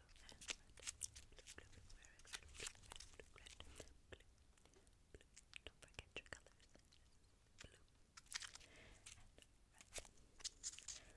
and red. Blue, blue, blue, red, red, red, red, blue, blue. Don't forget your colors. Blue and red. Red. Blue and red. Blau. Blau.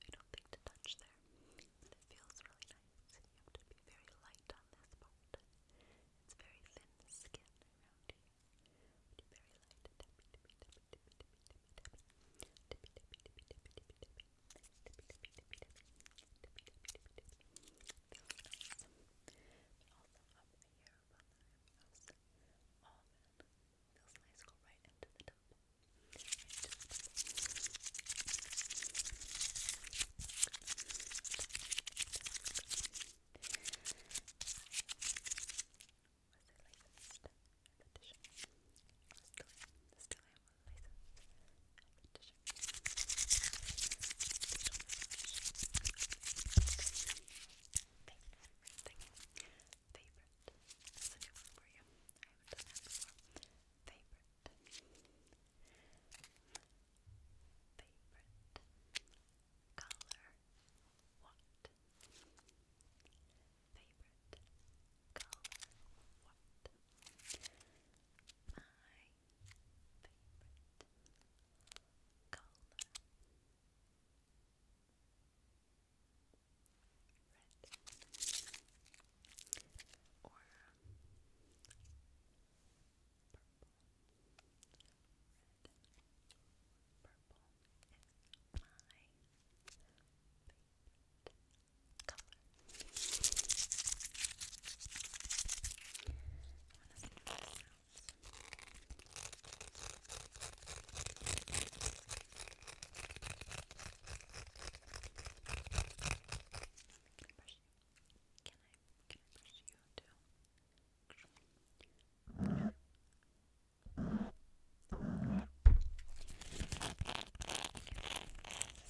I don't think to touch there. it feels really nice. You have to be very light on this part. It's very thin skin very light. also up here those lights go right into the top. Right the top. I I still am, still am a favorite, favorite, favorite, favorite. That's a new one for you. I haven't done that before. Favorite. Favorite. Color. What? Favorite. Color. What? My favorite color red or purple, red, purple is my favorite color. I want to see how can I brush you? Can I, can I brush you too? Okay. This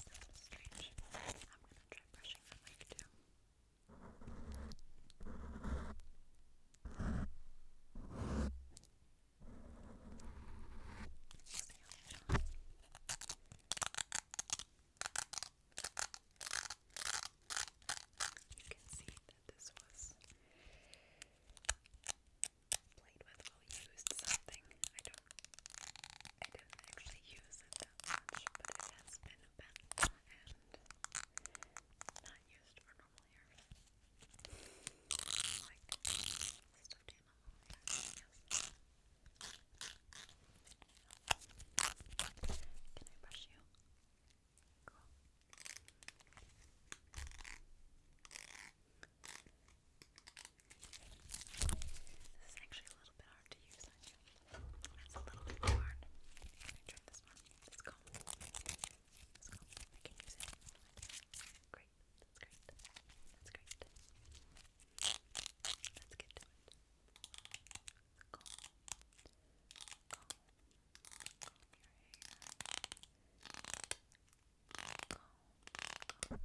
sounds strange. I'm gonna try brushing the mic too. Okay. You can see that this was played with or used something. I don't I didn't actually use that much, but it has been a bent not used for normal hair. like stuffed animal yes. Can I brush you? Cool. This is actually a little bit hard to use you. That's a little bit hard. Let this one. Let's go. Let's go. I can use it. Great. That's great. That's great. Let's get to it. Go. Go. Comb your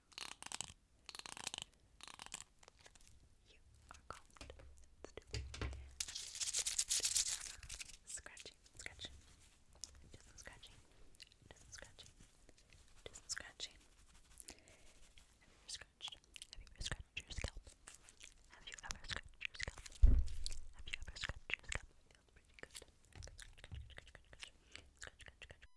back. You are comfortable. Let's do it. scratching, scratching, just scratching, just scratching, just scratching. Have you ever scratched? your scalp? Have you ever scratched your scalp? Have you ever scratched your scalp?